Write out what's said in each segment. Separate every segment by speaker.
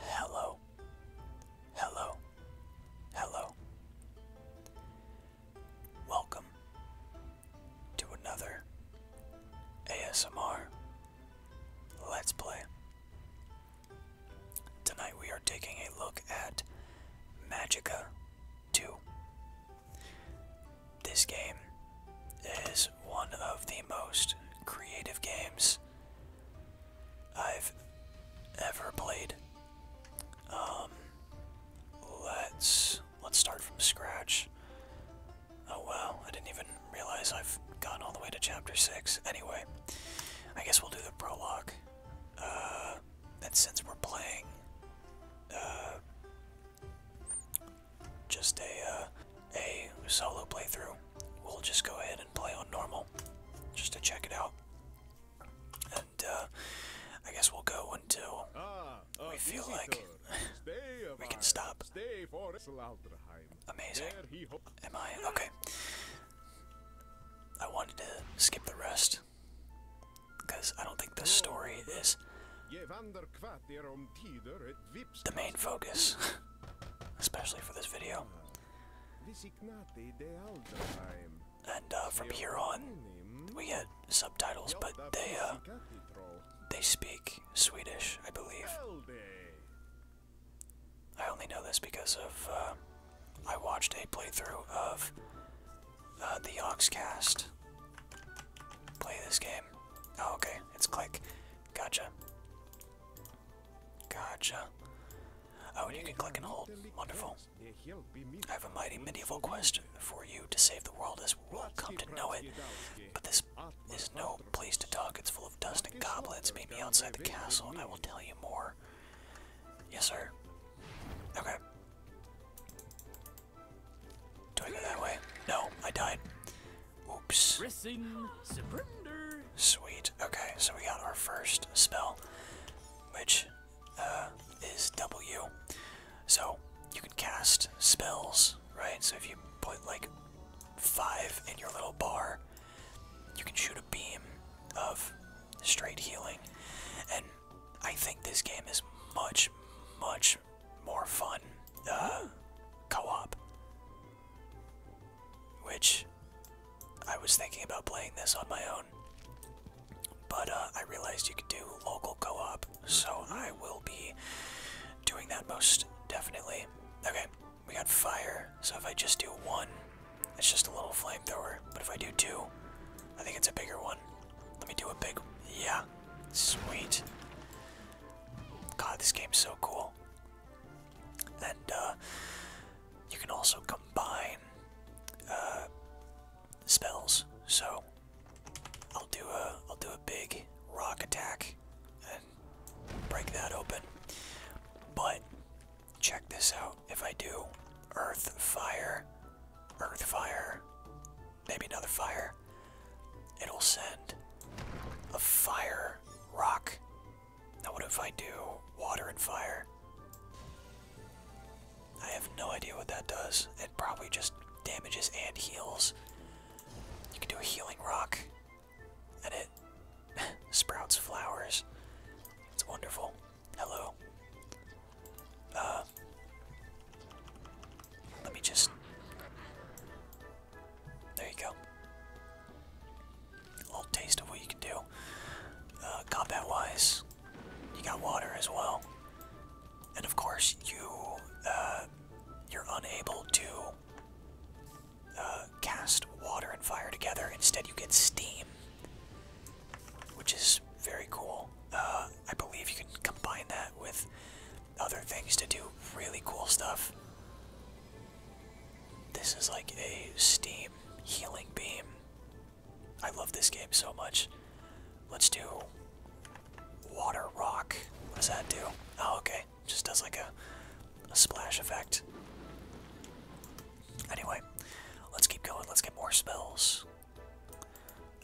Speaker 1: Hello. Hello. Hello. Welcome to another ASMR Let's Play. Tonight we are taking a look at Magica 2. This game is one of the most creative games I've ever played. Um, let's let's start from scratch. Oh wow, I didn't even realize I've gotten all the way to chapter six. Anyway, I guess we'll do the prologue. Uh, and since we're playing uh, just a uh, a solo playthrough. We'll just go ahead and play on normal, just to check it out. And uh, I guess we'll go until ah, we feel like we can stop. Amazing. Am I okay? I wanted to skip the rest because I don't think the story is the main focus, especially for this video. And uh, from here on, we get subtitles, but they uh, they speak Swedish, I believe. I only know this because of uh, I watched a playthrough of uh, the Oxcast Play this game. Oh, okay. It's click. Gotcha. Gotcha. Oh, you can click and hold. Wonderful. I have a mighty medieval quest for you to save the world as we'll come to know it. But this is no place to talk. It's full of dust and goblins. Meet me outside the castle and I will tell you more. Yes, sir. Okay. Do I go that way? No, I died. Oops. Sweet. Okay, so we got our first spell, which uh, is W. So you can cast spells, right? So if you put like five in your little bar, you can shoot a beam of straight healing. And I think this game is much, much more fun uh, co-op. Which I was thinking about playing this on my own, but uh, I realized you could do local co-op, so I will be doing that most definitely. Okay, we got fire, so if I just do one, it's just a little flamethrower, but if I do two, I think it's a bigger one. Let me do a big, yeah, sweet. God, this game's so cool. And uh, you can also combine uh, spells. So I'll do a I'll do a big rock attack and break that open. But check this out. If I do earth fire, earth fire, maybe another fire. It'll send a fire rock. Now, what if I do water and fire? I have no idea what that does. It probably just damages and heals. You can do a healing rock, and it sprouts flowers. It's wonderful. Hello. Uh, let me just. There you go. A little taste of what you can do. Uh, combat wise, you got water as well. And of course, you, uh, you're unable to uh, cast water and fire together. Instead, you get steam, which is very cool. I believe you can combine that with other things to do really cool stuff. This is like a steam healing beam. I love this game so much. Let's do water rock. What does that do? Oh, okay. Just does like a, a splash effect. Anyway, let's keep going. Let's get more spells.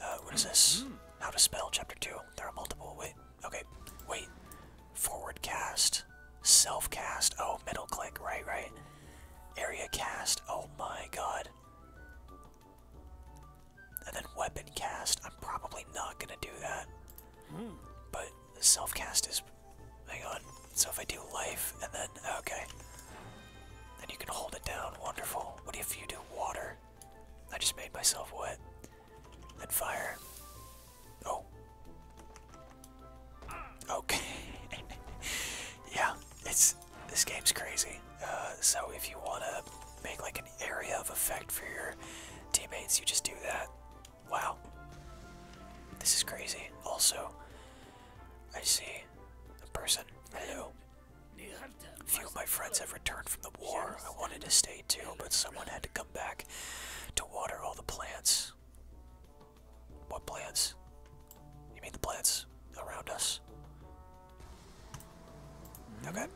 Speaker 1: Uh, what is this? Hmm. How to spell, chapter 2. There are multiple. Wait, Okay, wait. Forward cast, self cast. Oh, middle click, right, right. Area cast. Oh my god. And then weapon cast. I'm probably not gonna do that. Hmm. But self cast is. Hang on. So if I do life and then. Okay. Then you can hold it down. Wonderful. What if you do water? I just made myself wet. That fire. Oh. Okay. yeah, it's this game's crazy. Uh, so if you wanna make like an area of effect for your teammates, you just do that. Wow. This is crazy. Also, I see a person. Hello. Few of my friends have returned from the war. I wanted to stay too, but someone had to come back to water all the plants. What plants? You mean the plants around us? Okay.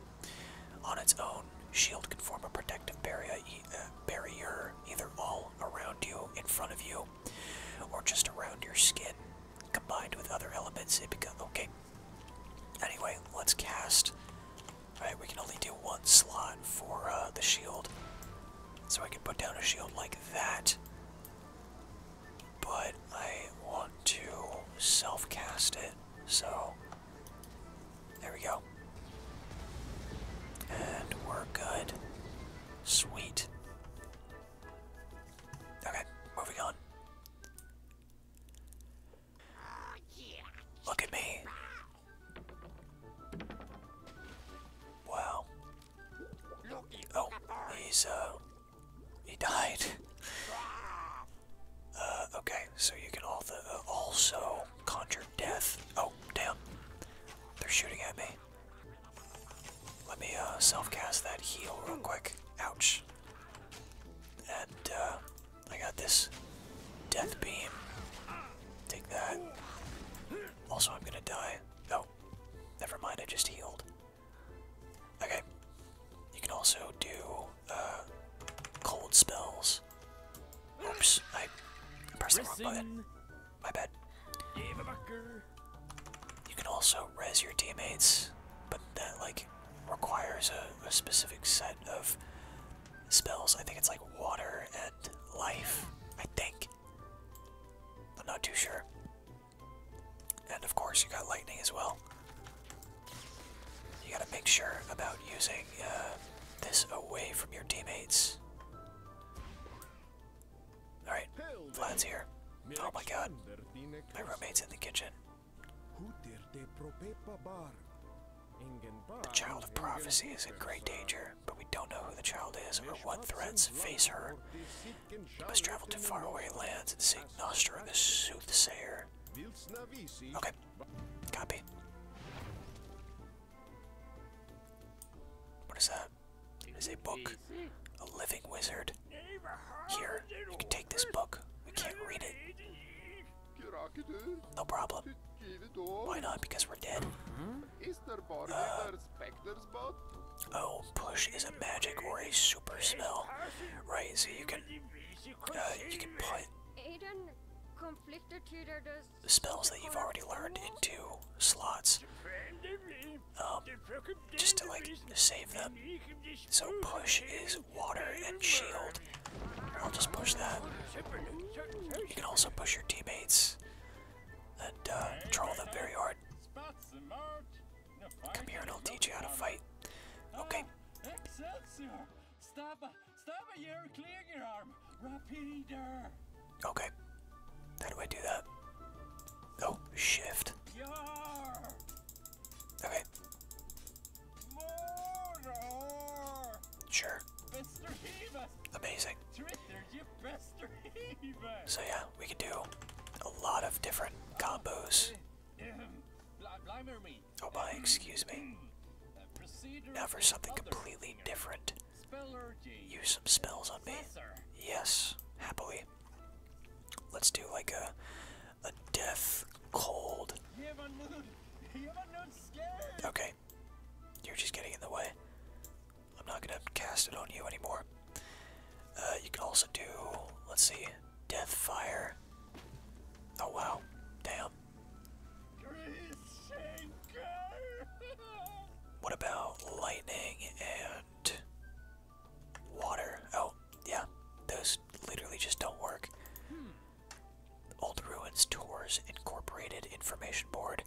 Speaker 1: On its own, shield can form a protective barrier, uh, barrier either all around you, in front of you, or just around your skin. Combined with other elements, it becomes okay. Anyway, let's cast. Alright, we can only do one slot for uh, the shield. So I can put down a shield like that. But I want to self cast it. So. There we go. And we're good. Sweet. Okay, moving on. Look at me. Wow. Oh, he's, uh, he died. Uh, okay, so you can all uh, also conjure death. Oh, damn. They're shooting at me. Let me, uh, self-cast that heal real quick. Ouch. And, uh, I got this death beam. Take that. Also, I'm gonna die. Oh, never mind, I just healed. Okay. You can also do uh, cold spells. Oops, I pressed the wrong button. My bad. You can also rez your teammates, but that like requires a, specific set of spells. I think it's like water and life. I think. I'm not too sure. And of course, you got lightning as well. You gotta make sure about using uh, this away from your teammates. Alright, Vlad's here. Oh my god. My roommate's in the kitchen. The child of prophecy is in great danger, but we don't know who the child is or what threats face her. We must travel to faraway lands and seek Nostra the soothsayer. Okay, copy. What is that? It is a book. A living wizard. Here, you can take this book. We can't read it. No problem. Why not? Because we're dead. Uh, oh, push is a magic or a super spell, right? So you can, uh, you can put spells that you've already learned into slots, um, just to like save them. So push is water and shield. I'll just push that. You can also push your teammates that uh, troll them very hard. Come here and I'll teach you how to fight. Okay. Okay. How do I do that? Oh, shift. Okay. Sure. Amazing. So yeah, we could do a lot of different combos. Oh boy, excuse me. Now for something completely different. Use some spells on me. Yes, happily. Let's do like a a death cold. Okay. You're just getting in the way. I'm not gonna cast it on you anymore. Uh, you can also do, let's see, death fire. Oh wow, damn. What about lightning and water? Oh, yeah, those literally just don't work. Hmm. Old Ruins Tours Incorporated information board.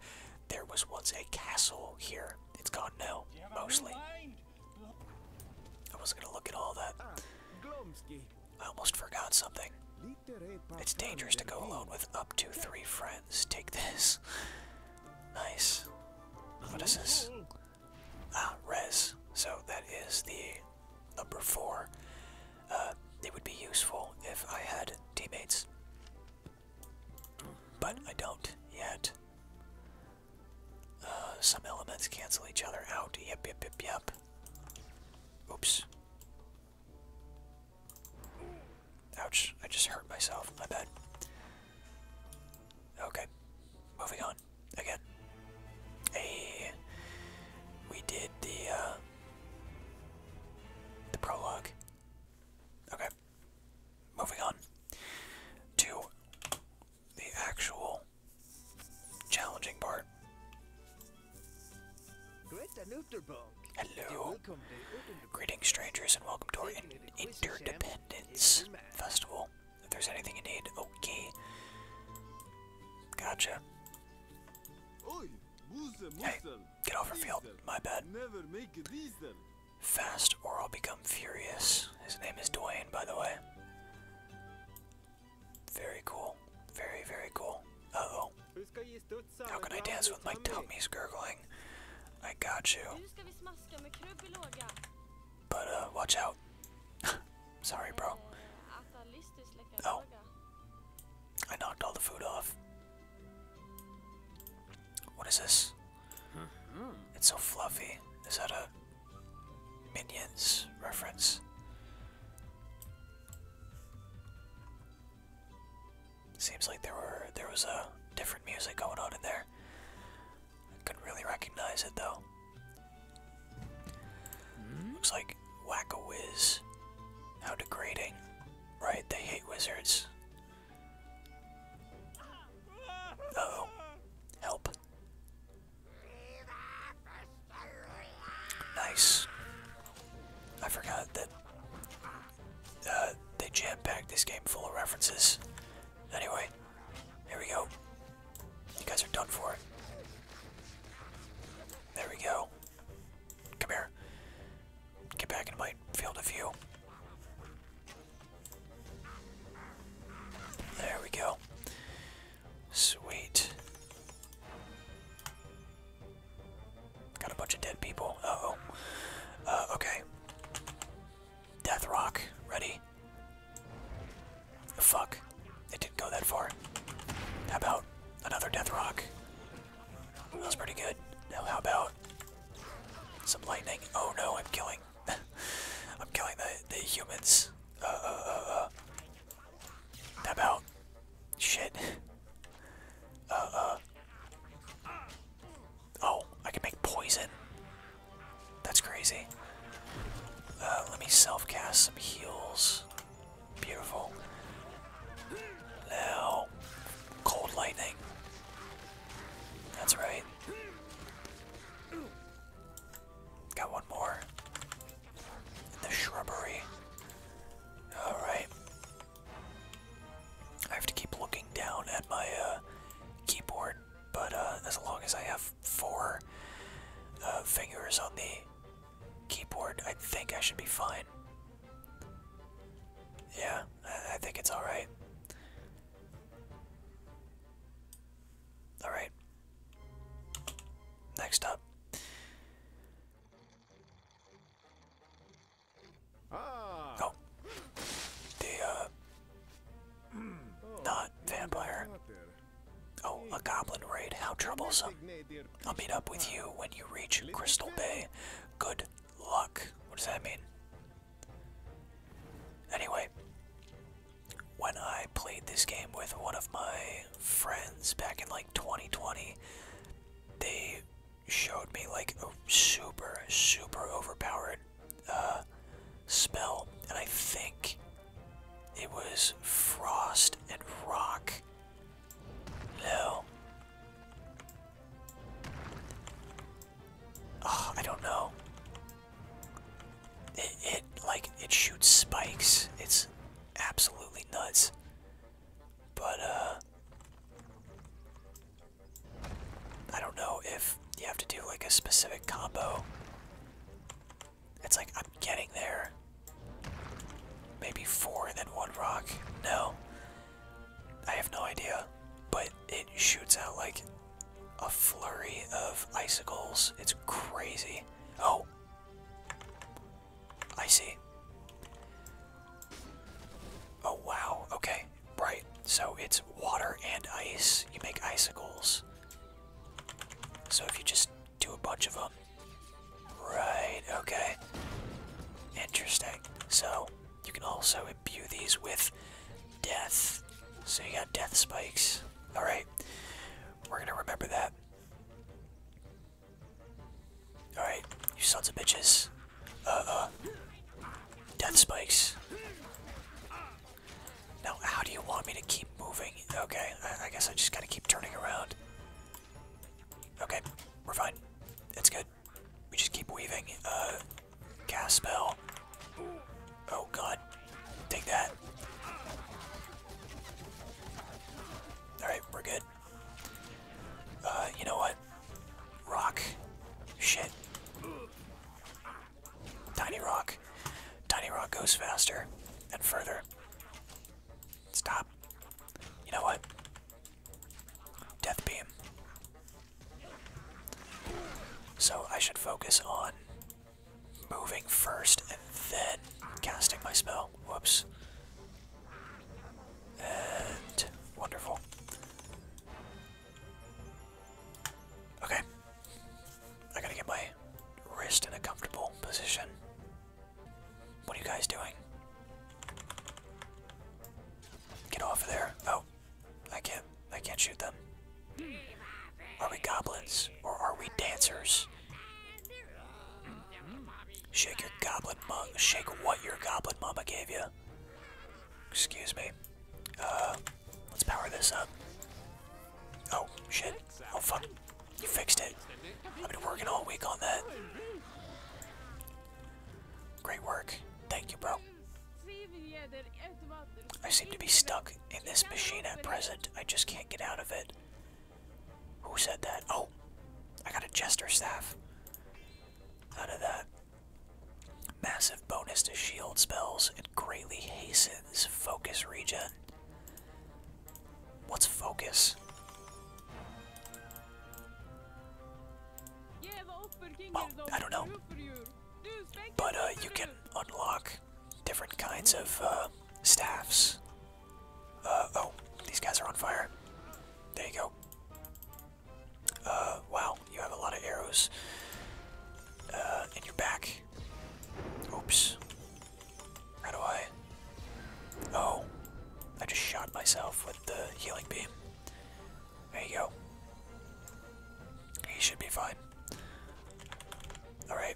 Speaker 1: There was once a castle here. It's gone now, mostly. I was gonna look at all that. Ah, I almost forgot something. It's dangerous to go alone with up to three friends. Take this. Nice. What is this? Mm-hmm. Ah, res. So that is the number four. it uh, would be useful if I had teammates, but I don't yet. Uh, some elements cancel each other out. Yep, yep, yep, yep. Oops. Ouch, I just hurt myself. My bad. Okay, moving on. Again, a we did the uh, the prologue. Okay, moving on to the actual challenging part. Hello, greetings, strangers, and welcome to our interdependence festival. If there's anything you need, okay. Gotcha. Hey, get over field. My bad. Fast or I'll become furious. His name is Dwayne, by the way. Very cool. Very, very cool. Uh-oh. How can I dance with my tummy's gurgling? I got you. But, uh, watch out. Sorry, bro. Oh. I knocked all the food off. What is this? Mm-hmm. It's so fluffy. Is that a Minions reference? Seems like there were there was a different music going on in there. I couldn't really recognize it though. Looks like Whack a Whiz. How degrading. Right, they hate wizards. Uh Help. Nice. I forgot that uh, they jam packed this game full of references. Anyway, here we go. You guys are done for it. There we go. Come here. Get back into my field of view. There we go. Sweet. Got a bunch of dead people. oh. okay. Death Rock, ready. Fuck. It didn't go that far. How about another death rock? That was pretty good. Now how about some lightning? Oh no, I'm killing. I'm killing the the humans. Uh, uh, uh, uh. How about shit? Uh, uh. Oh, I can make poison. That's crazy. Uh, let me self cast some heals. Beautiful. Now, cold lightning. That's right. Got one more. In the shrubbery. Alright. I have to keep looking down at my uh, keyboard, but uh, as long as I have four uh, fingers on the keyboard, I think I should be fine. Yeah, I think it's alright. Alright. Next up. Ah. Oh. The, uh, hmm. Not vampire. Oh, Oh, a goblin raid. How troublesome. I'll meet up with you when you reach Crystal Bay. Good luck. What does that mean? Anyway, when I played this game with one of my friends back in like 2020, they showed me like a super, super overpowered uh, spell. And I think it was Frost and Rock. No. Ah, I don't know. It, like it shoots spikes. It's absolutely nuts. But uh, I don't know if you have to do like a specific combo it's like I'm getting there. Maybe four and then one rock. No. I have no idea. But it shoots out like a flurry of icicles. It's crazy. Oh. I see. Oh wow. Okay. Right. So it's water and ice. You make icicles. So if you just do a bunch of them. Right, okay. Interesting. So, you can also imbue these with death. So you got death spikes. Alright. We're gonna remember that. Alright, you sons of bitches. Uh-uh. Death spikes. Now, how do you want me to keep moving? Okay, I guess I just gotta keep turning around. Okay, we're fine. It's good. We just keep weaving. Uh, cast spell. Oh god. Take that. Alright, we're good. Uh, you know what? Rock. Shit. Tiny rock. Tiny rock goes faster and further. Stop. You know what? Death Beam. So I should focus on moving first and then casting my spell. Whoops. And wonderful. Okay. I gotta get my wrist in a comfortable position. What are you guys doing? Get off there. Oh. I can't I can't shoot them. Are we goblins or are we dancers? Shake your goblin mug. shake what your goblin mama gave you. Excuse me. Uh let's power this up. Oh shit. Oh fuck. You fixed it. I've been working all week on that. Great work. Thank you, bro. I seem to be stuck in this machine at present. I just can't get out of it. Who said that? Oh, I got a Jester Staff. Out of that. Massive bonus to shield spells. and greatly hastens focus regen. What's focus? Well, I don't know. But uh, you can unlock different kinds of uh, staffs. Uh, oh, these guys are on fire. There you go. wow, you have a lot of arrows in your back. Oops. How do I? Oh, I just shot myself with the healing beam. There you go. He should be fine. Alright.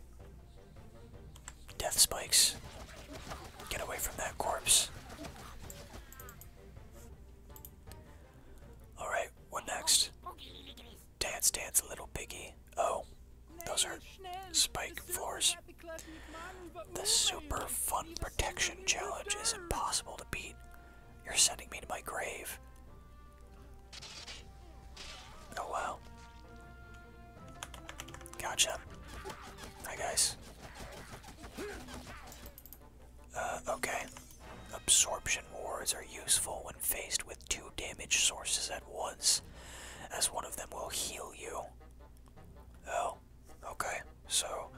Speaker 1: Death spikes. Get away from that corpse. Alright, what next? Dance, dance, little piggy. Oh, those are spike floors. The super fun protection challenge is impossible to beat. You're sending me to my grave. Oh wow. Gotcha. Hi guys. Uh, okay. Absorption wards are useful when faced with two damage sources at once, as one of them will heal you. Oh. Okay, so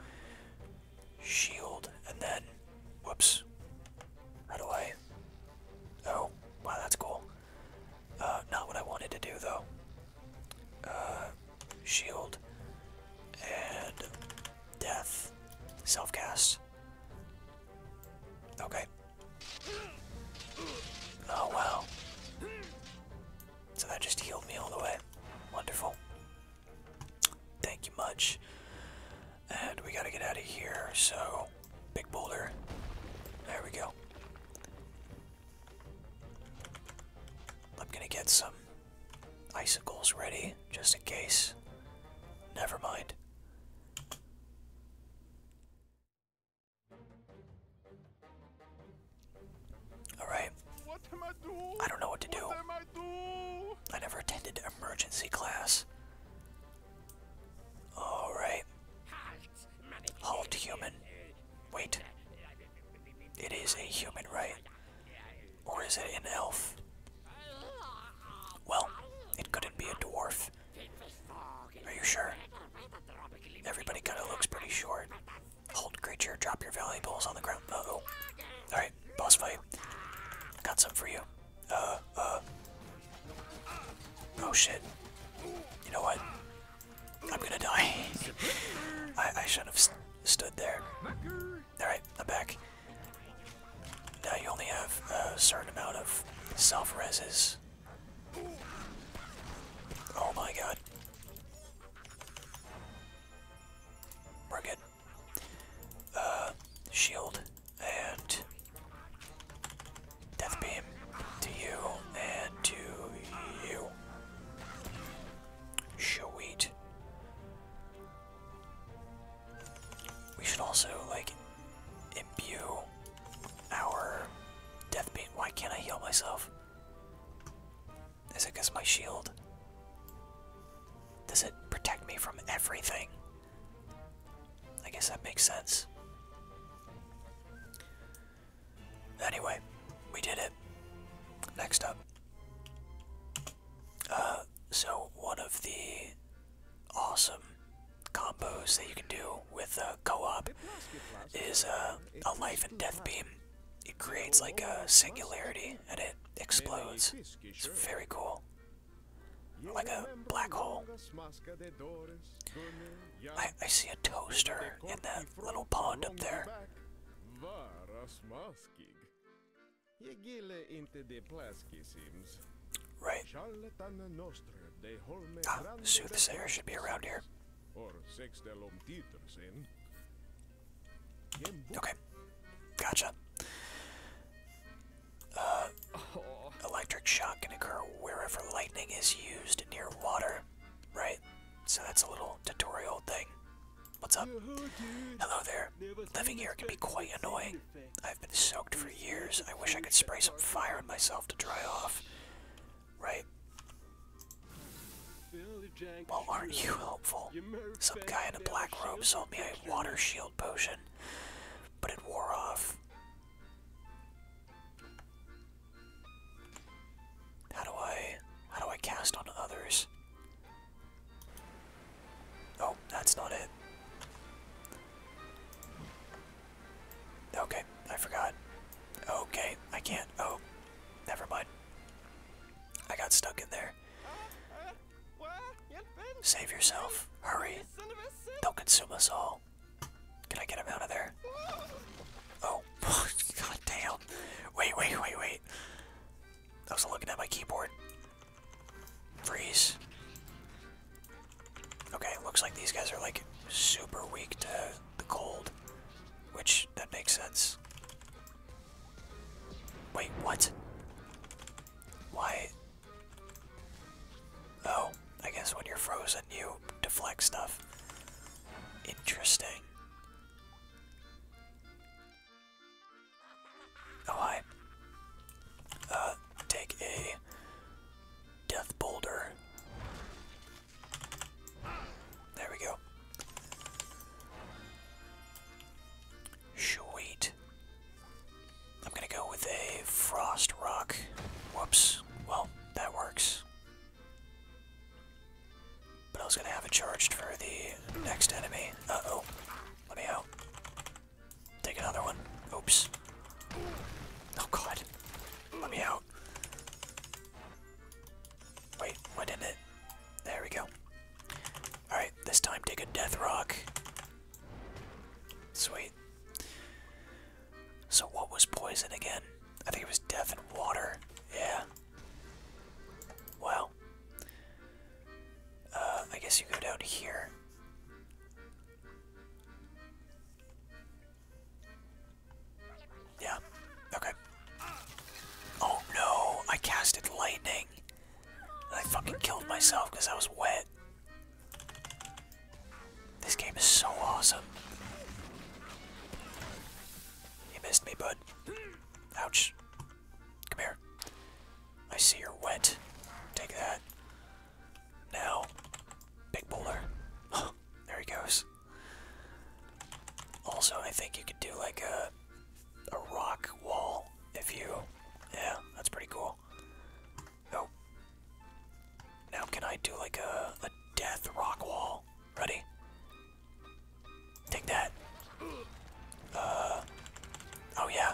Speaker 1: shield and then whoops. How do I Oh, wow that's cool. Uh not what I wanted to do though. Uh, shield and death. Self cast. Okay. Oh wow. So that just healed me all the way. Wonderful. Thank you much. And we gotta get out of here, so big boulder. There we go. I'm gonna get some icicles ready, just in case. Never mind. Alright. I don't know what to do. I, do? I never attended emergency class. Alright. Halt human. Wait. It is a human, right? Or is it an elf? Well, it couldn't be a dwarf. Are you sure? Everybody kinda looks pretty short. Hold creature, drop your valuables on the ground. oh. Alright, boss fight. got some for you. Uh, uh. Oh shit. You know what? I'm gonna die. I, I should have stood there. Alright, I'm back. Now you only have a certain amount of self reses. Oh my god we uh, shield and death beam to you and to you. Sweet. We should also like imbue our death beam. Why can't I heal myself? Is it because my shield? Does it protect me from everything? I guess that makes sense. Anyway, we did it. Next up. Uh, so one of the awesome combos that you can do with uh, co-op is uh, a life and death beam it creates like a singularity and it explodes. It's very cool. Like a black hole. I, see a toaster in that little pond up there. Right. Ah, soothsayer should be around here. Okay. Gotcha. Uh, oh. electric shock can occur wherever lightning is used near water, right? So that's a little tutorial thing. What's up? Hello there. Living here can be quite annoying. I've been soaked for years. I wish I could spray some fire on myself to dry off right? Well, aren't you helpful? Some guy in a black robe sold me a water shield potion, but it wore off. How do I how do I cast on others? Oh, that's not it. Okay, I forgot. Okay, I can't. Oh, Never mind. I got stuck in there. Save yourself. Hurry. Don't consume us all. Can I get him out of there? Oh, god Wait, wait, wait, wait. I was looking at my keyboard. Freeze. Okay, looks like these guys are like super weak to the cold. Which, that makes sense. Wait, what? Why? Oh, I guess when you're frozen, you deflect stuff. Interesting. Oh, hi. Uh, take a death boulder. There we go. Sweet. I'm gonna go with a frost rock. Whoops. Well, that works. But I was gonna have it charged for the next enemy. Uh oh. Let me out. Take another one. Oops. Oh god. Let me out. Wait, what did it? There we go. Alright, this time take a death rock. Sweet. So what was poison again? I think it was death and water. Yeah. Well, Uh, I guess you go down here. Yeah. Okay. Oh no! I casted lightning. I fucking killed myself because I was wet. This game is so awesome. You missed me, bud. Ouch. Come here. I see you're wet. Take that. Now, big boulder. there he goes. Also, I think you could do like a a rock wall if you yeah, that's pretty cool. Oh. Now can I do like a a death rock wall? Ready? Take that. Uh, oh yeah.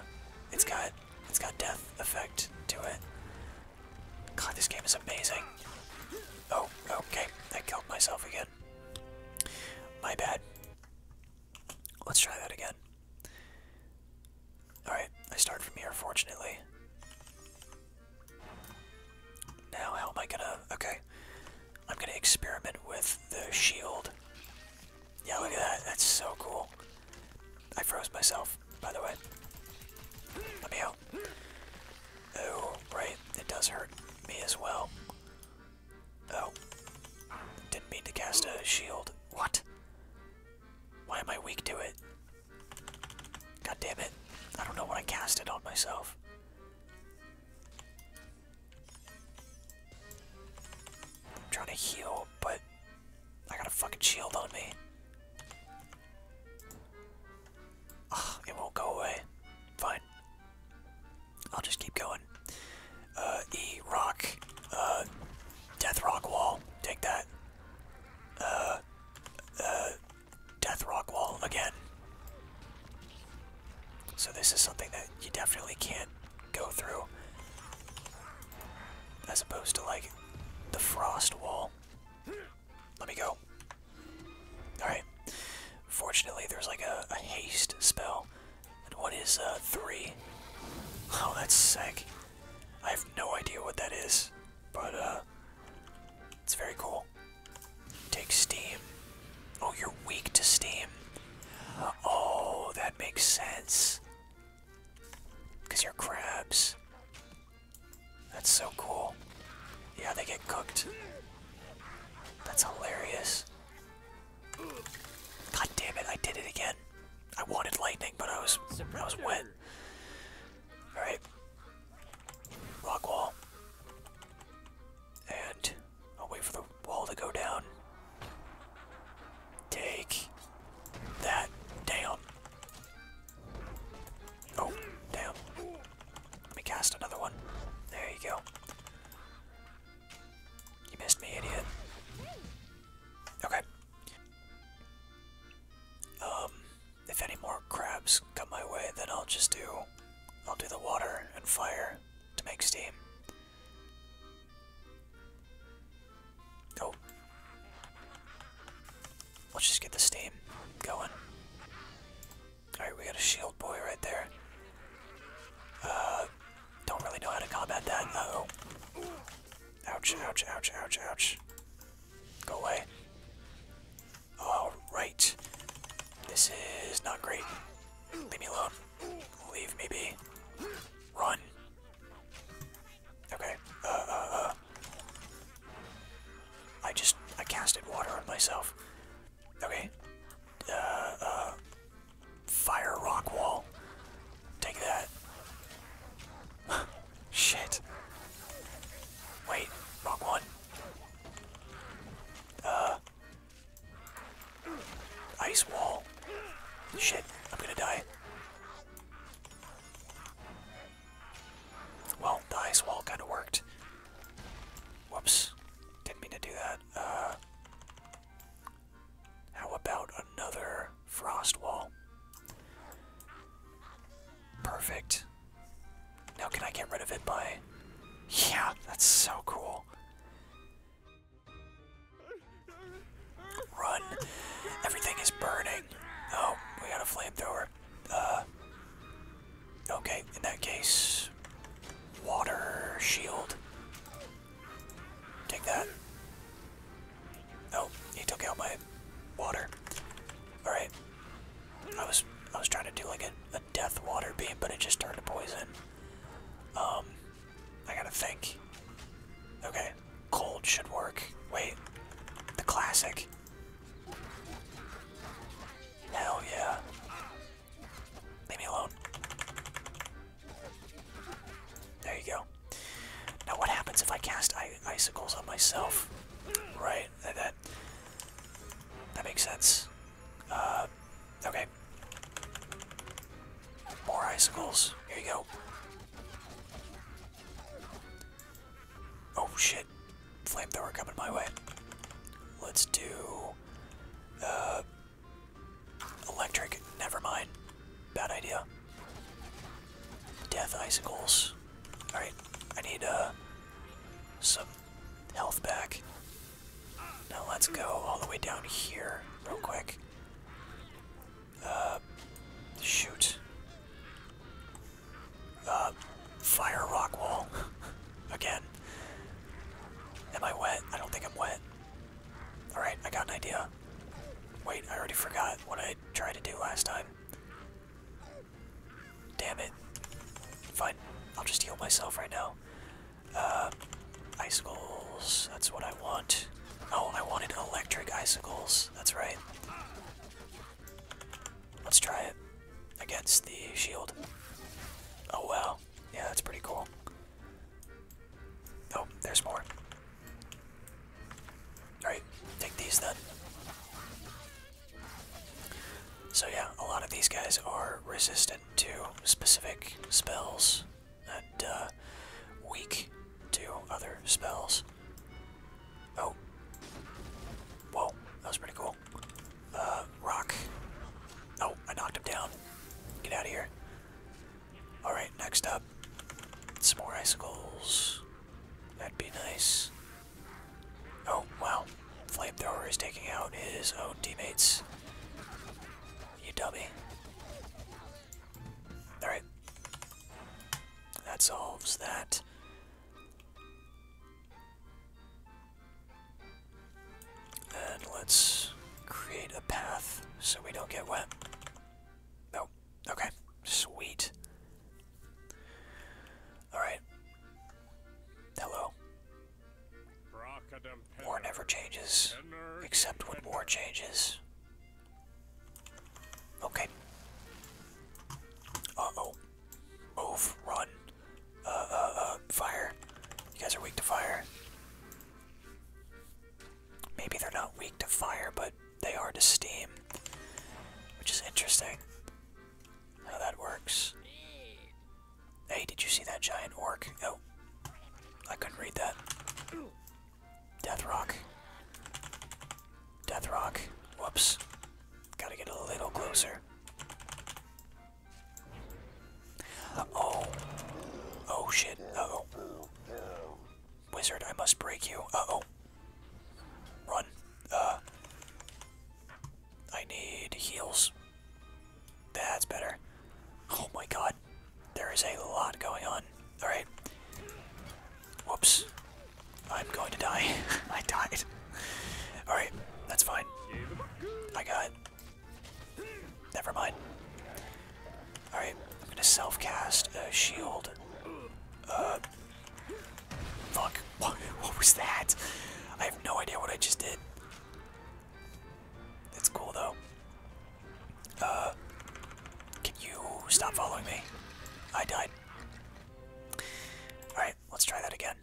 Speaker 1: It's got it's got death effect to it. God, this game is amazing. Oh, okay. I killed myself again. My bad. Let's try that again. Alright, I start from here, fortunately. Now, how am I gonna. Okay. I'm gonna experiment with the shield. Yeah, look at that. That's so cool. I froze myself, by the way. Let me out. Oh, right. It does hurt. Me as well. Oh. Didn't mean to cast a shield. What? Why am I weak to it? God damn it. I don't know why I cast it on myself. I'm trying to heal, but I got a fucking shield on me. Ugh, ah, it won't go away. Fine. I'll just keep going. Uh, e, rock, uh, death rock wall, take that. Uh, death rock wall again. So this is something that you definitely can't go through. As opposed to, like, the frost wall. Let me go. Alright. Fortunately, there's like a, haste spell. And what is uh, three? Oh, that's sick. I have no idea what that is, but uh, it's very cool. Take steam. Oh, you're weak to steam. Oh, that makes sense. Because you're crabs. That's so cool. Yeah, they get cooked. That's hilarious. God damn it, I did it again. I wanted lightning, but I was I was wet. Alright. Rock wall. And I'll wait for the wall to go down. Take that down. Oh, damn. Let me cast another one. There you go. You missed me, idiot. Okay. Um, if any more crabs come my way, then I'll just do, I'll do the water and fire to make steam. Oh. Let's just get the steam going. Alright, we got a shield boy right there. Uh, don't really know how to combat that. Ouch, ouch, ouch, ouch, ouch. Go away. Alright. This is not great. Leave me alone. Leave me be. Run. Okay. uh. uh, uh. I just, I casted water on myself. Okay. Uh, uh, fire rock wall. Take that. Shit. Wait, wrong one. Uh, ice wall. Shit, I'm gonna die. Well, the ice wall kind of worked. Whoops. Didn't mean to do that. Uh, how about another frost wall? Perfect. Now can I get rid of it by... Yeah, that's so cool. Run. Everything is burning. Oh, we got a flamethrower. Uh, Okay, in that case, water shield. Take that. Oh, he took out my water. Alright. I was I was trying to do like a, a death water beam, but it just turned to poison. Um I gotta think. Okay. Cold should work. Wait. The classic. Hell yeah. Leave me alone. There you go. Now what happens if I cast icicles on myself? Right, that that, makes sense. Uh, okay. More icicles. Here you go. Oh shit. Flamethrower coming my way. Let's do uh, electric, never mind. Bad idea. Death icicles. Alright, I need uh, some health back. Now let's go all the way down here real quick. Uh, shoot. fire rock wall. Again. Am I wet? I don't think I'm wet. Alright, I got an idea. Wait, I already forgot what I tried to do last time. Damn it. Fine, I'll just heal myself right now. Uh, icicles, that's what I want. Oh, I wanted electric icicles, that's right. Let's try it against the shield. Oh well. Yeah, that's pretty cool. Oh, there's more. Alright, take these then. So yeah, a lot of these guys are resistant to specific spells and uh, weak to other spells. Oh. Whoa, that was pretty cool. Uh, rock. Oh, I knocked him down. Get out of here. Alright, next up. Some more icicles. That'd be nice. Oh, well, Flamethrower is taking out his own teammates. You Alright. That solves that. And let's create a path so we don't get wet. Nope. Okay. Sweet. Alright. Hello. War never changes, except when war changes. Okay. Uh-oh. Move. Run. Uh, uh, uh, fire. You guys are weak to fire. Maybe they're not weak to fire, but they are to steam. Which is interesting. How that works. Hey, did you see that giant orc? Oh. I couldn't read that. Death Rock. Death Rock. Whoops. Gotta get a little closer. Oh. Oh shit. oh. Wizard, I must break you. Uh oh. Run. Uh. I need heals. That's better. Oh my god. There is a lot going on. Alright. Whoops. I'm going to die. I died. Alright, that's fine. I got it. Never mind. Alright, I'm gonna self cast a shield. Uh, fuck. What, was that? I have no idea what I just did. It's cool though. Uh. Can you stop following me? I died. Alright, let's try that again.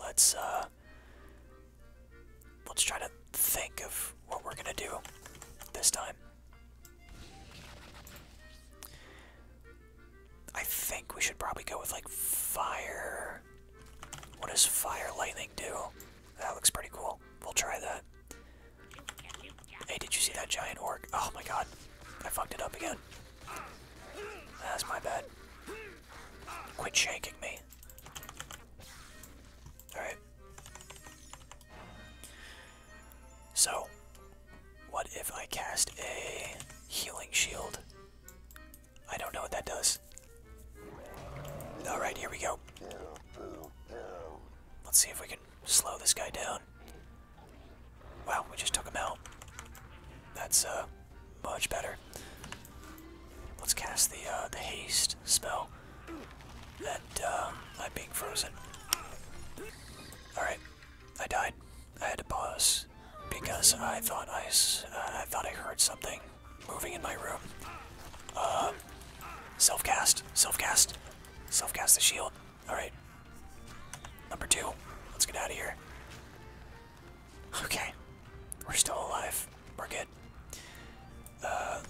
Speaker 1: Let's uh let's try to think of what we're gonna do this time. I think we should probably go with like fire. What does fire lightning do? That looks pretty cool. We'll try that. Hey, did you see that giant orc? Oh my god. I fucked it up again. That's my bad. Quit shaking me. Alright. So, what if I cast a healing shield? I don't know what that does. Alright, here we go. Let's see if we can slow this guy down. Wow, we just took him out. That's uh, much better. Let's cast the uh, the haste spell. And um, I'm being frozen. All right, I died. I had to pause because I thought I uh, I thought I heard something moving in my room. self cast, self cast, self cast the shield. Alright. Number two. Let's get out of here. Okay. We're still alive. We're good. Uh,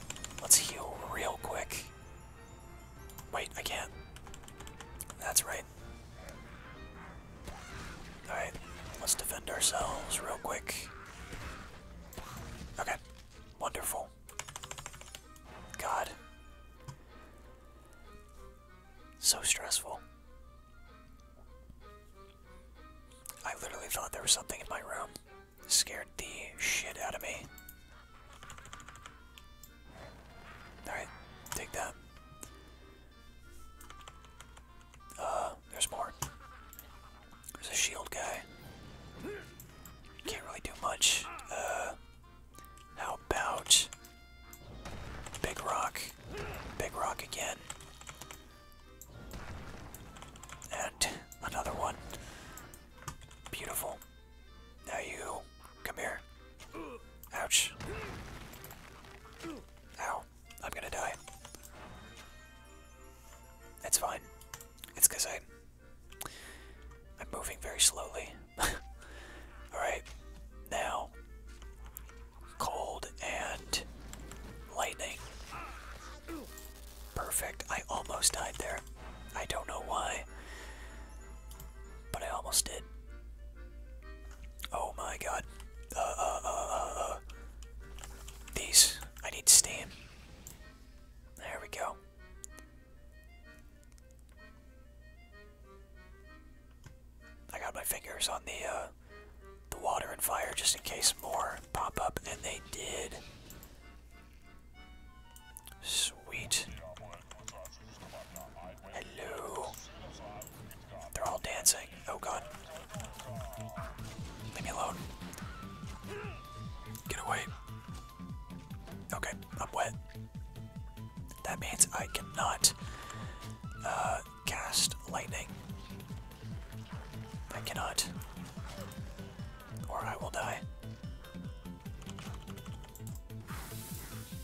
Speaker 1: let's heal real quick. Wait, I can't. That's right. Alright, let's defend ourselves real quick. Okay, wonderful. God. So stressful. I literally thought there was something in my room. Scared the shit out of me. Alright, take that. Uh, there's more. There's a shield guy. Can't really do much. Uh, how about Big rock. Big rock again. And another one. Beautiful. Now you come here. Ouch. Ow. I'm gonna die. That's fine. It's because I I'm moving very slowly. Alright, now cold and lightning. Perfect. I almost died there. I don't know why, but I almost did. Oh my god. Uh, uh, uh, uh, uh. These. I need steam. There we go. I got my fingers on the uh, the water and fire just in case more pop up, and they did. Sweet. Hello. They're all dancing. Oh god. Leave me alone. Get away. Okay, I'm wet. That means I cannot uh, cast lightning. I cannot. Or I will die.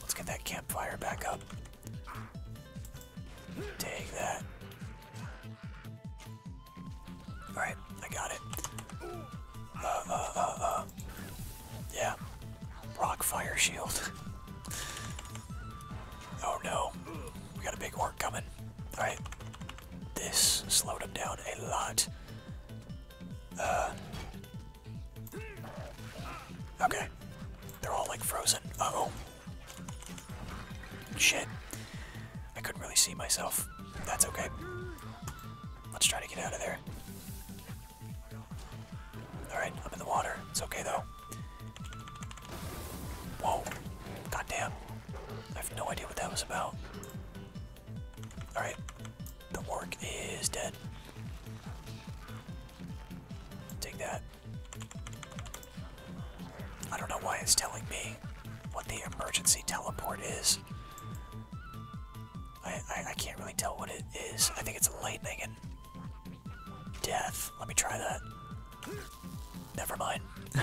Speaker 1: Let's get that campfire back up. Take that. Alright, I got it. Uh, uh, yeah, Rock fire shield. Oh no. We got a big orc coming. Alright. This slowed him down a lot. Uh. Okay. They're all like frozen. Uh oh. Shit. I couldn't really see myself. That's okay. Let's try to get out of there. Alright, I'm in the water. It's okay though. Whoa. damn! I have no idea what that was about. Alright. The work is dead. Take that. I don't know why it's telling me what the emergency teleport is. I, I, can't really tell what it is. I think it's lightning Death. Let me try that. Never mind.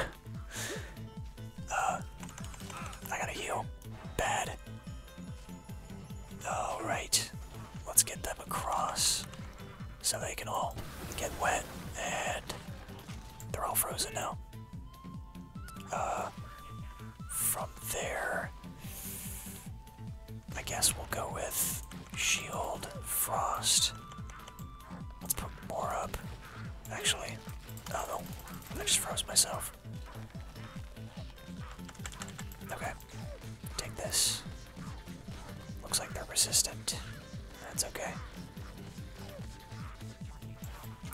Speaker 1: Uh, I gotta heal. Bad. Alright. Let's get them across so they can all get wet and they're all frozen now. Uh, from there, I guess we'll go with Shield, Frost. Let's put more up. Actually, oh no, I just froze myself. Okay, take this. Looks like they're resistant. That's okay.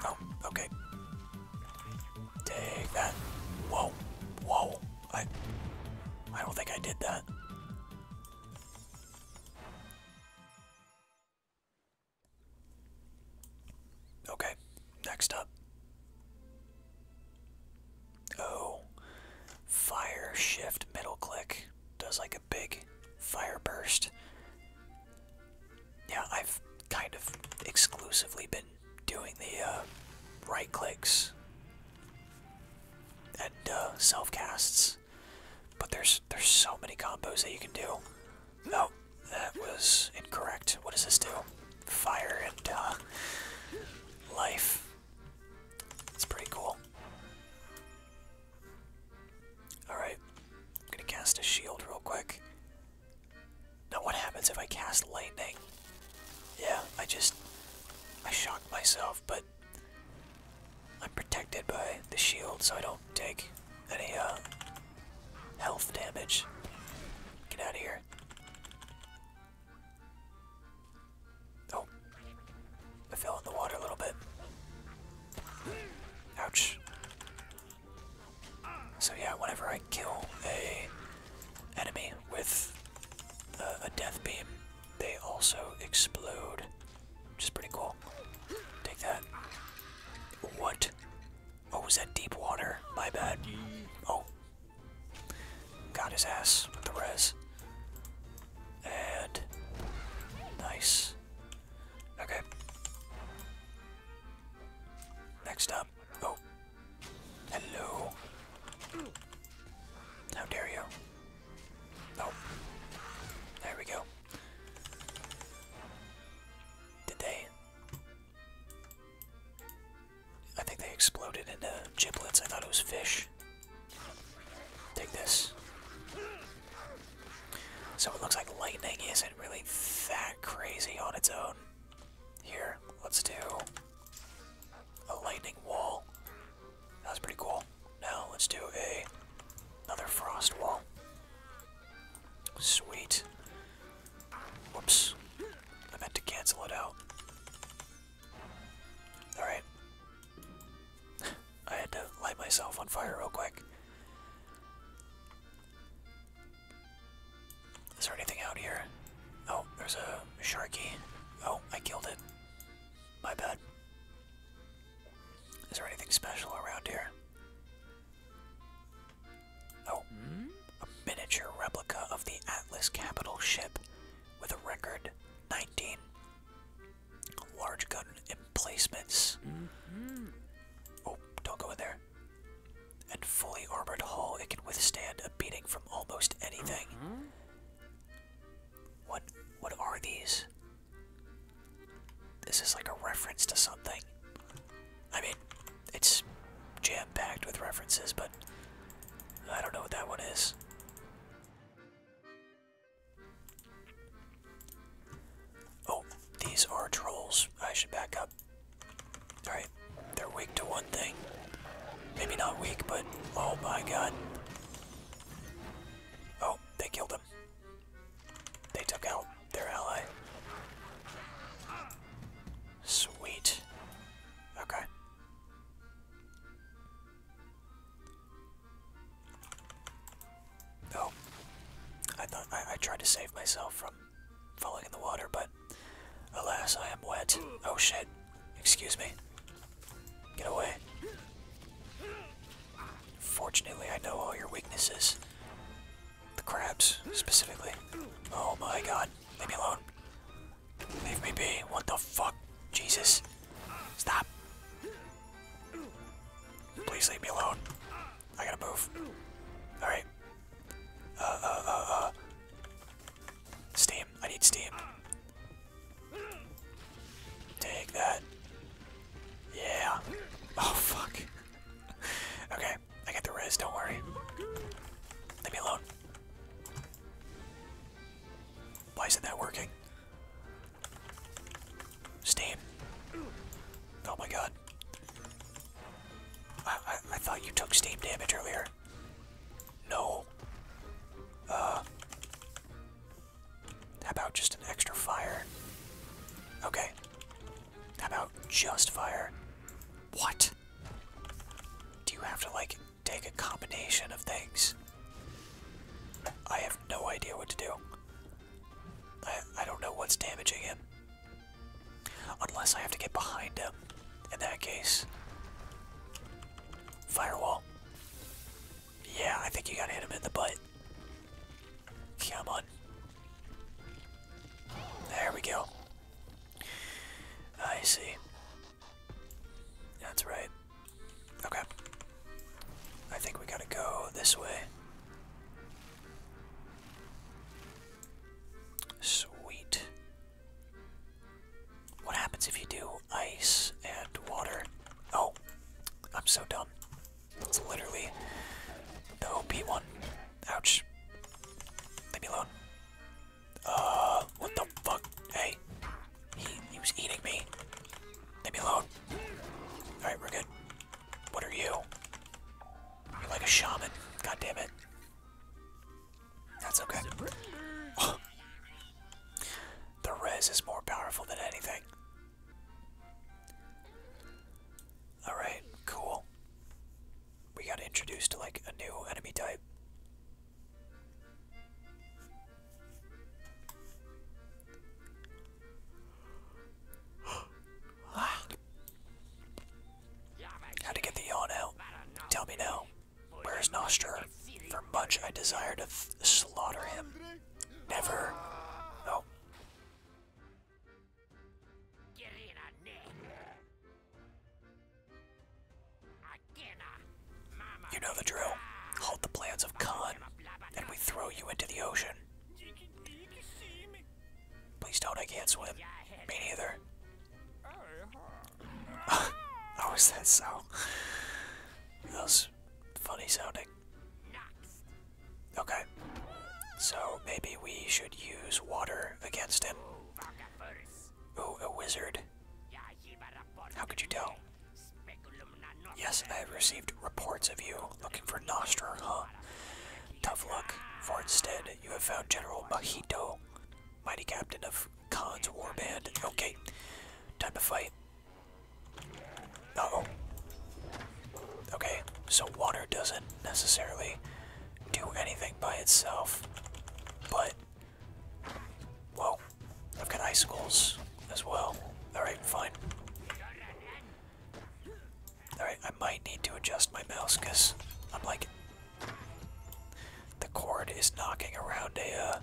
Speaker 1: Oh, okay. Take Whoa, whoa. I I don't think I did that. Okay, next up. Oh, fire shift middle click does like a big fire burst. Yeah, I've kind of exclusively been doing the uh, right clicks and uh, self casts. But there's there's so many combos that you can do. No, oh, that was incorrect. What does this do? Fire and uh, life. It's pretty cool. Alright. I'm gonna cast a shield real quick. Now what happens if I cast lightning? Yeah, I just I shocked myself but I'm protected by the shield, so I don't take any uh, health damage. Get out of here. Oh, I fell in the water a little bit. Ouch. So yeah, whenever I kill a enemy with a, uh, a death beam, they also explode, which is pretty cool. Take that. What? Oh, was that deep water? My bad. Oh. Got his ass with the res. And. Nice. Okay. Next up. Oh. Hello. How dare you? Oh. There we go. Did they? I think they exploded into giblets. I thought it was fish. Take this. So it looks like lightning isn't really that crazy on its own. Here, let's do a lightning wall. That was pretty cool. Now let's do a another frost wall. Sweet. Whoops. I meant to cancel it out. Alright. I had to light myself on fire real quick. Is there anything out here? Oh, there's a sharky. Oh, I killed it. My bad. Is there anything special around here? Oh, a miniature replica of the Atlas capital ship with a record 19 large gun emplacements.
Speaker 2: Mm-hmm.
Speaker 1: Oh, don't go in there. And fully armored hull, it can withstand a beating from almost anything. Mm-hmm. What what are these? This is like a reference to something. I mean, it's jam-packed with references, but I don't know what that one is. Oh, these are trolls. I should back up. Alright, they're weak to one thing. Maybe not weak, but oh my god. Oh, they killed him. They took out their ally. Sweet. Okay. Oh, I thought I, I tried to save myself from falling in the water, but alas, I am wet. Oh shit. Excuse me. Get away. Fortunately, I know all your weaknesses. The crabs, specifically. Oh my god. Leave me alone. Leave me be. What the fuck? Jesus. Stop. Please leave me alone. I gotta move. Alright. Uh, uh, uh, uh. Steam. I need steam. Take that. Yeah. Oh, fuck. okay, I get the rest. don't worry. Leave me alone. Why isn't that working? Steam. Oh my god. I, I, I thought you took steam damage earlier. No. Uh, how about just an extra fire? Okay. How about just fire? What? Do you have to, like, take a combination of things? I have no idea what to do. I, I don't know what's damaging him. Unless I have to get behind him. In that case, firewall. Yeah, I think you gotta hit him in the butt. Come on. There we go. I see. That's right. Okay. I think we gotta go this way. Sweet. What happens if you do ice and water? Oh, I'm so dumb. That's literally the OP one. Ouch. Leave me alone. Uh, what the fuck? Hey, he, he was eating me. Leave me alone. Alright, we're good. What are you? You're like a shaman. God damn it. That's okay. The rez is more powerful than anything. Alright, cool. We got introduced like a new enemy type. Ah. How to get the yawn out? Tell me now. Where's Nostra? For much I desire to slaughter him. Never. no. Oh. You know the drill. Halt the plans of Khan, and we throw you into the ocean. Please don't, I can't swim. Me neither oh, is that so? That funny sounding. Okay. So maybe we should use water against him. Oh, a wizard. How could you tell? Yes, I have received reports of you looking for Nostra, huh? Tough luck, for instead you have found General Mahito, mighty captain of Khan's warband. Okay, time to fight oh. Okay, so water doesn't necessarily do anything by itself, but. Whoa, I've got icicles as well. Alright, fine. Alright, I might need to adjust my mouse because I'm like. The cord is knocking around a. Uh,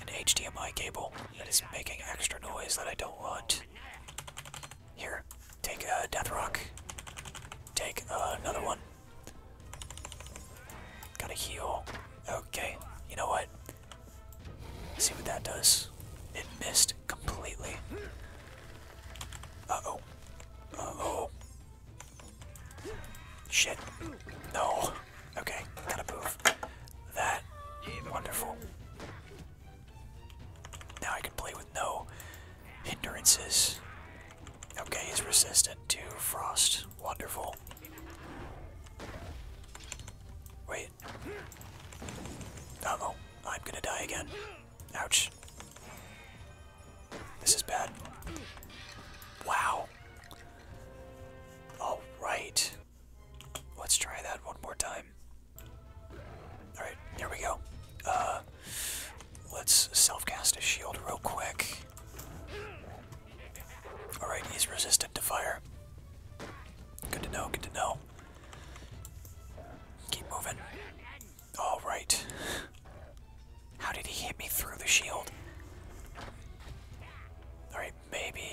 Speaker 1: an HDMI cable that is making extra noise that I don't want. Here, take a uh, death rock. Take another one. Gotta heal. Okay, you know what? see what that does. It missed completely. Uh oh. Uh oh. Shit. No. Okay, gotta move that. Wonderful. Now I can play with no hindrances. Okay, he's resistant to frost. Wonderful. Wait. oh, I'm gonna die again. Ouch. This is bad. Wow. All right. Let's try that one more time. All right, here we go. Uh, let's self-cast a shield real quick. All right, he's resistant to fire. Good to know. Good to know. Keep moving. All right. How did he hit me through the shield? Alright, maybe...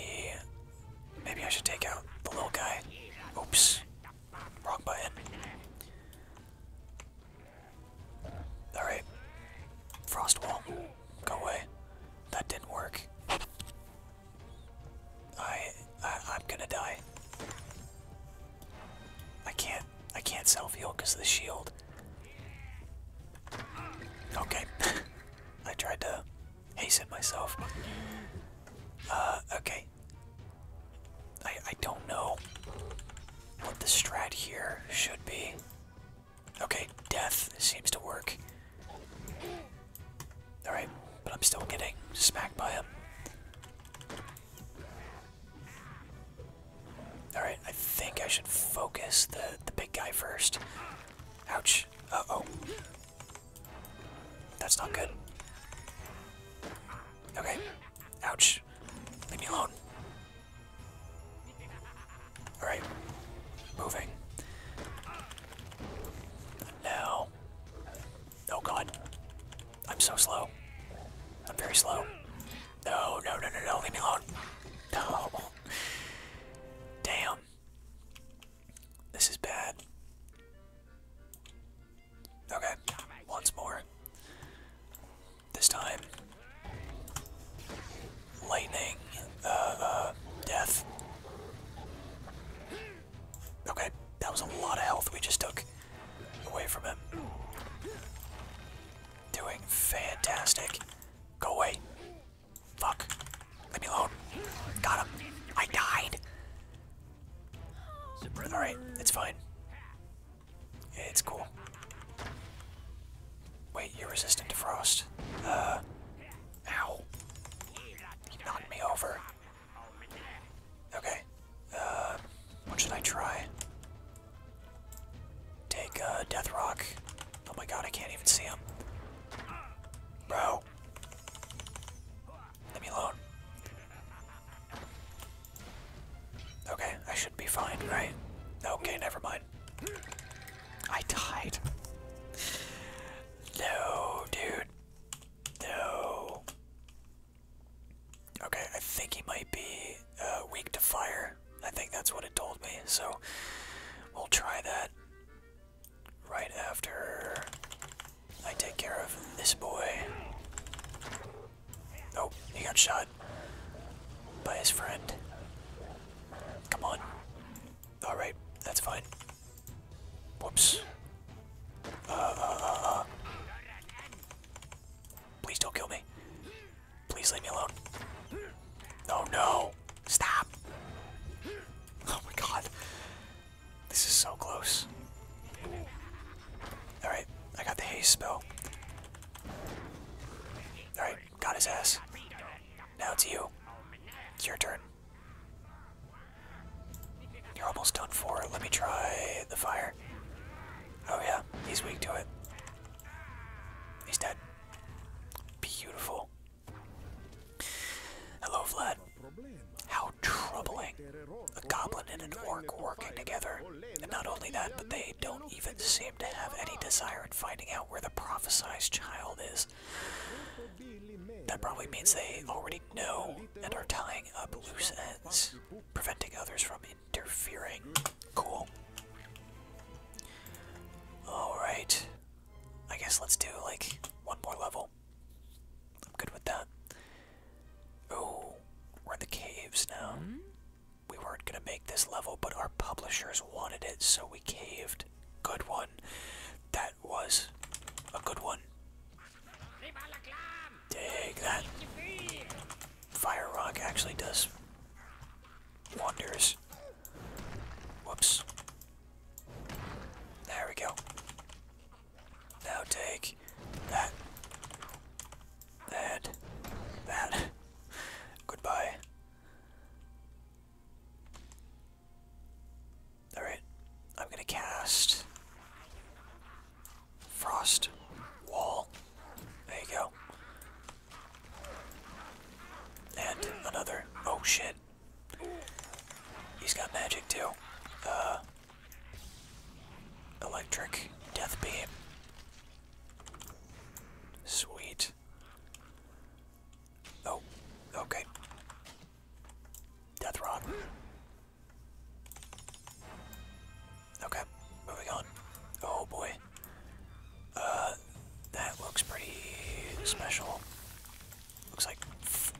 Speaker 1: Maybe I should take out the little guy. Oops. Wrong button. Alright. Frost wall. Go away. That didn't work. I, I am gonna die. I can't I can't self heal because of the shield. Okay. I tried to it myself. Uh, okay. I, I don't know what the strat here should be. Okay, death seems to work. Alright, but I'm still getting smacked by him. Alright, I think I should focus the, the big guy first. Ouch. Uh-oh. That's not good. Okay. Ouch. Leave me alone. Alright. Moving. No. Oh god. I'm so slow. I'm very slow. No, no, no, no, no. Leave me alone. No. Damn. This is bad. Okay, once more. This time. Lightning, uh, uh, death. Okay, that was a lot of health we just took away from him. Doing fantastic. Go away. Fuck. Leave me alone. Got him. I died. Alright, it's fine. it's cool. Wait, you're resistant to frost. Uh. Ow. He knocked me over. Okay. Uh. What should I try? Take uh, Death Rock. Oh my god, I can't even see him. Bro. Leave me alone. Okay, I should be fine, right? Okay, never mind. I died. no, dude. No. Okay, I think he might be uh, weak to fire. I think that's what it told me, so we'll try that right after I take care of this boy. Oh, he got shot by his friend. Come on. Alright, that's fine. Whoops. Uh, uh, uh, uh. Please don't kill me. Please leave me alone. Oh no! Stop! Oh my god. This is so close. Alright, I got the haze spell. Alright, got his ass. Now it's you. It's your turn. You're almost done for. Let me try the fire. Oh yeah, he's weak to it. He's dead. Beautiful. Hello, Vlad. How troubling. A goblin and an orc working together. And not only that, but they don't even seem to have any desire in finding out where the prophesized child is. That probably means they already know and are tying up loose ends, preventing others from interfering. Cool. Alright, I guess let's do like one more level. I'm good with that. Oh, we're in the caves now. Hmm? We weren't gonna make this level, but our publishers wanted it, so we caved. Good one. That was a good one. Take that. Fire rock actually does Wonders. Whoops. There we go. Now take that. That. That. Goodbye. Alright. I'm gonna cast Frost Wall. There you go. And another. Oh shit. He's got magic too. Uh. Electric death beam. Sweet. Oh, okay. Death rod. Okay, moving on. Oh boy. Uh, that looks pretty special. Looks like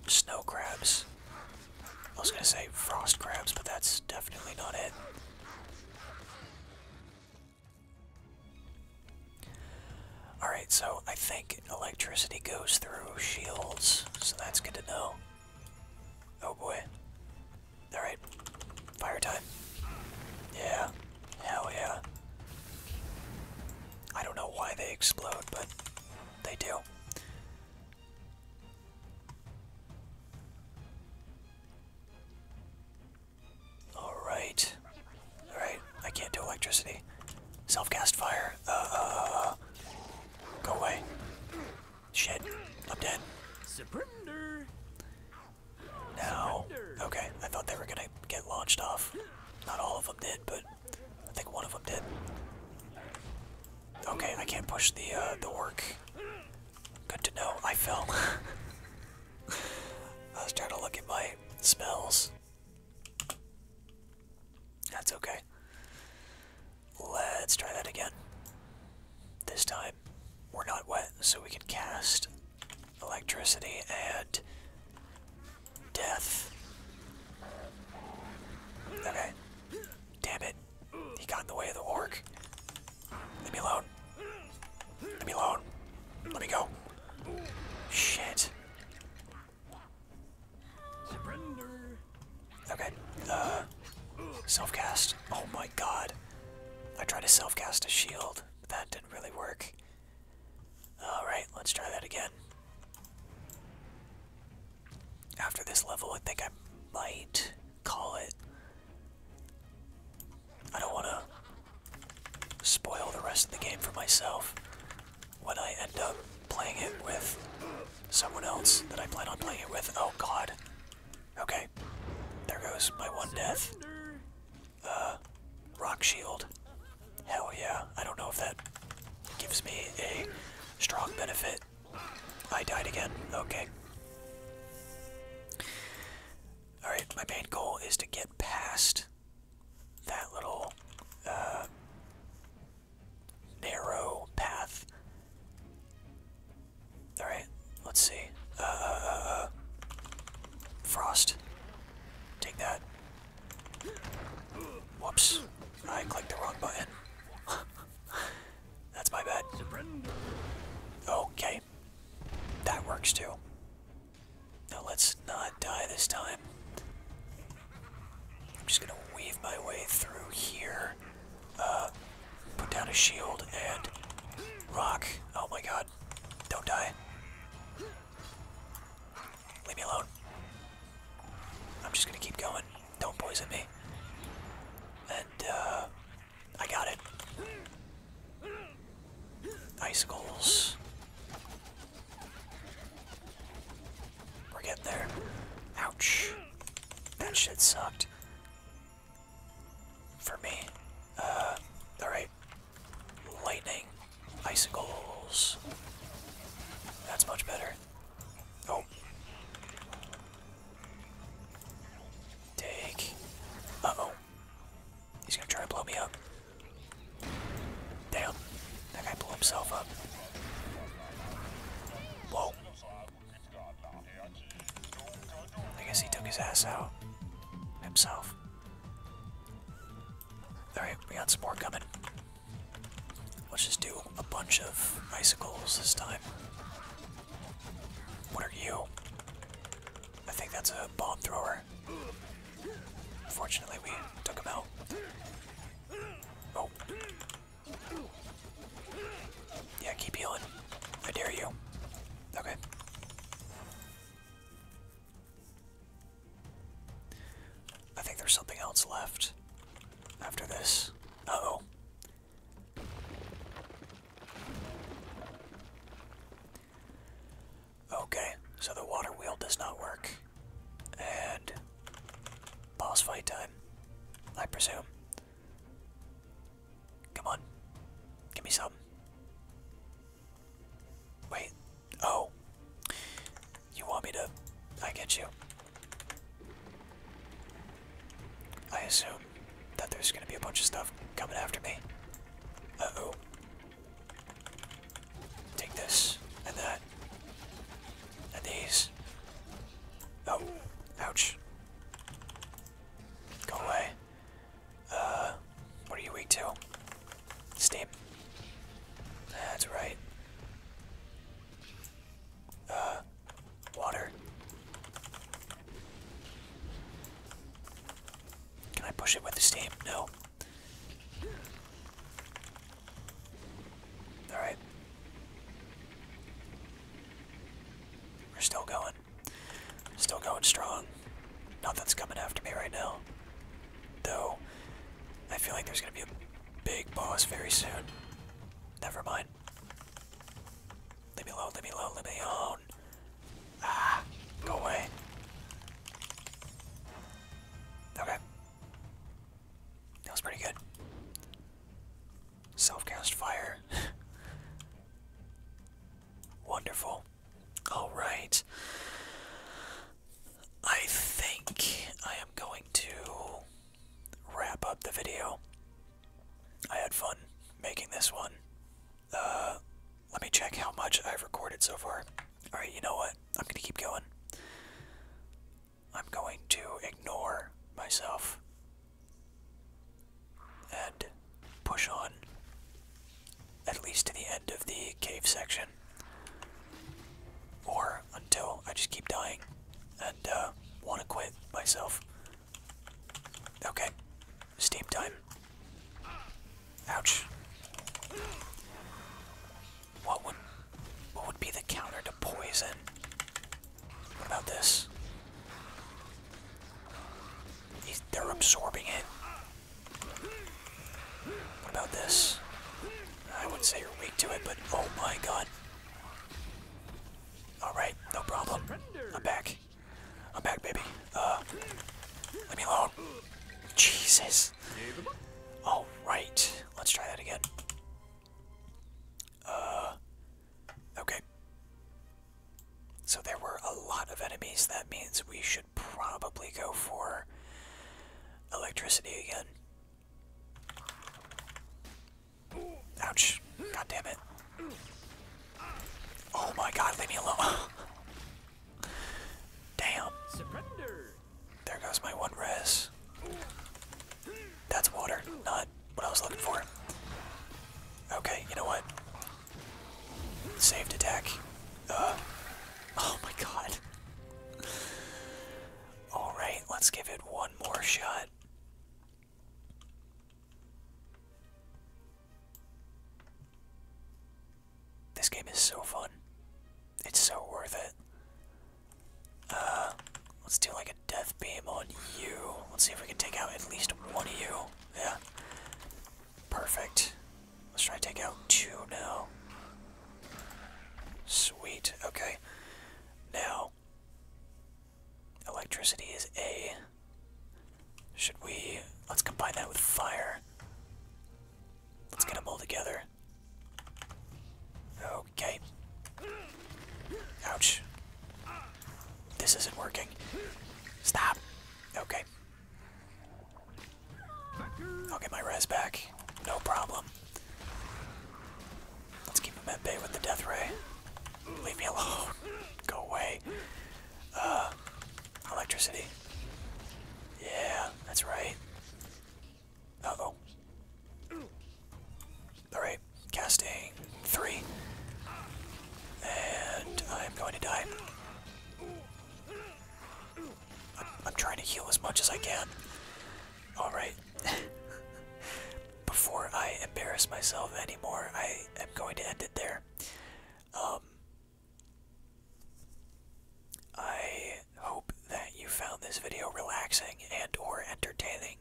Speaker 1: snow crabs. I was gonna say frost crabs, but that's definitely not it. Alright, so I think electricity goes through shields, so that's good to know. Oh boy. Alright, fire time. Yeah. Hell yeah. I don't know why they explode, but they do. Alright. Alright, I can't do electricity. Self-cast fire. Uh, uh, uh, uh. go away. Shit, I'm dead. Now, Okay, I thought they were gonna get launched off. Not all of them did, but I think one of them did. Okay, I can't push the uh, the work. Good to know. I fell. I was trying to look at my spells. That's okay. Let's try that again. This time, we're not wet, so we can cast electricity and death. Okay. Damn it. He got in the way of the orc. Let me alone. Let me alone. Let me go. Shit. Okay. Uh, self-cast. Oh my god. I tried to self-cast a shield. but That didn't really work. Alright, let's try that again. After this level, I think I might call it. I don't want to spoil the rest of the game for myself when I end up playing it with someone else that I plan on playing it with. Oh god. Okay. There goes my one death. Uh, rock shield. Hell yeah. I don't know if that gives me a strong benefit. I died again. Okay. Alright, my main goal is to get past that little uh, narrow path. Alright, let's see. Uh, frost. Take that. Whoops. I clicked the wrong button. That's my bad. Okay. That works too. Now let's not die this time. I'm just gonna weave my way through here. Uh, put down a shield and rock. Oh my god. Don't die. Leave me alone. I'm just gonna keep going. Don't poison me. And, uh, I got it. Icicles. We're getting there. Ouch. That shit sucked. For me. Uh, alright. Lightning, icicles. That's much better. Oh. Take. Uh oh. He's gonna try to blow me up. Damn. That guy blew himself up. Whoa. I guess he took his ass out. Himself. Alright, we got some more coming. Let's just do a bunch of icicles this time. What are you? I think that's a bomb thrower. Fortunately, we took him out. Oh. Yeah, keep healing. I dare you. Okay. I think there's something else left after this. oh Okay, so the water wheel does not work. And boss fight time, I presume. Come on, give me some. Wait. Oh. You want me to. I get you. I assume that there's gonna be a bunch of stuff coming after me. oh. Take this, and that, and these. Oh, ouch. Go away. Uh, what are you weak to? Steam. That's right. Uh, water. Can I push it with the steam? No. Alright. We're still going. Still going strong. Nothing's coming after me right now. Though, I feel like there's gonna be a big boss very soon. Never mind. Leave me alone, leave me alone, leave me alone. Ah, go away. Okay. That was pretty good. Self-cast fire. Wonderful. All right. I think I am going to wrap up the video. I had fun making this one. Uh, let me check how much I've recorded so far. Alright, you know what? I'm gonna keep going. I'm going to ignore myself and push on at least to the end of the cave section. Or until I just keep dying and uh, want to quit myself. Okay, steam time. Ouch. What would what would be the counter to poison? What about this? they're absorbing it about this? I wouldn't say you're weak to it, but oh my god. Alright, no problem. I'm back. I'm back, baby. Uh, let me alone. Jesus. Alright, let's try that again. Uh, okay. So there were a lot of enemies. That means we should probably go for electricity again. Ouch. God damn it. Oh my god, leave me alone. damn. Surrender. There goes my one res. That's water, not what I was looking for. Okay, you know what? Saved attack. Uh, oh my god. Alright, let's give it one more shot. This game is so fun. It's so worth it. Uh, let's do like a death beam on you. Let's see if we can take out at least one of you. Yeah. Perfect. Let's try to take out two now. Sweet, okay. Now, electricity is A. Should we... Let's combine that with fire. Let's get them all together. Okay. Ouch. This isn't working. Stop. Okay. I'll get my res back. No problem. Let's keep him at bay with the death ray. Leave me alone. Go away. Uh, electricity. Yeah, that's right. oh Alright, casting three. And I'm going to die. I'm, trying to heal as much as I can. Alright. Before I embarrass myself anymore, I am going to end it there. Um, I hope that you found this video relaxing and or entertaining.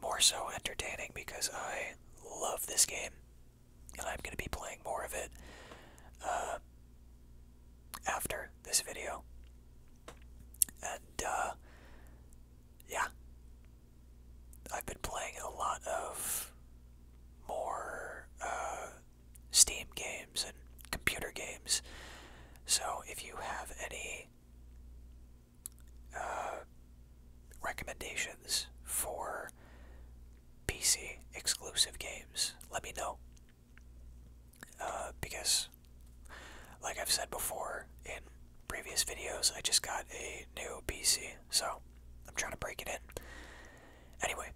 Speaker 1: More so entertaining because I love this game and I'm going to be playing more of it. Uh, after this video. And, uh, yeah. I've been playing a lot of more, uh, Steam games and computer games. So if you have any, uh, recommendations for PC exclusive games, let me know. Uh, because, like I've said before in previous videos, I just got a new PC, so I'm trying to break it in. Anyway,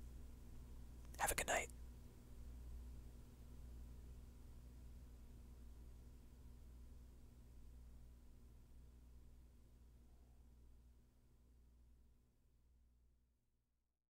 Speaker 1: have a good night.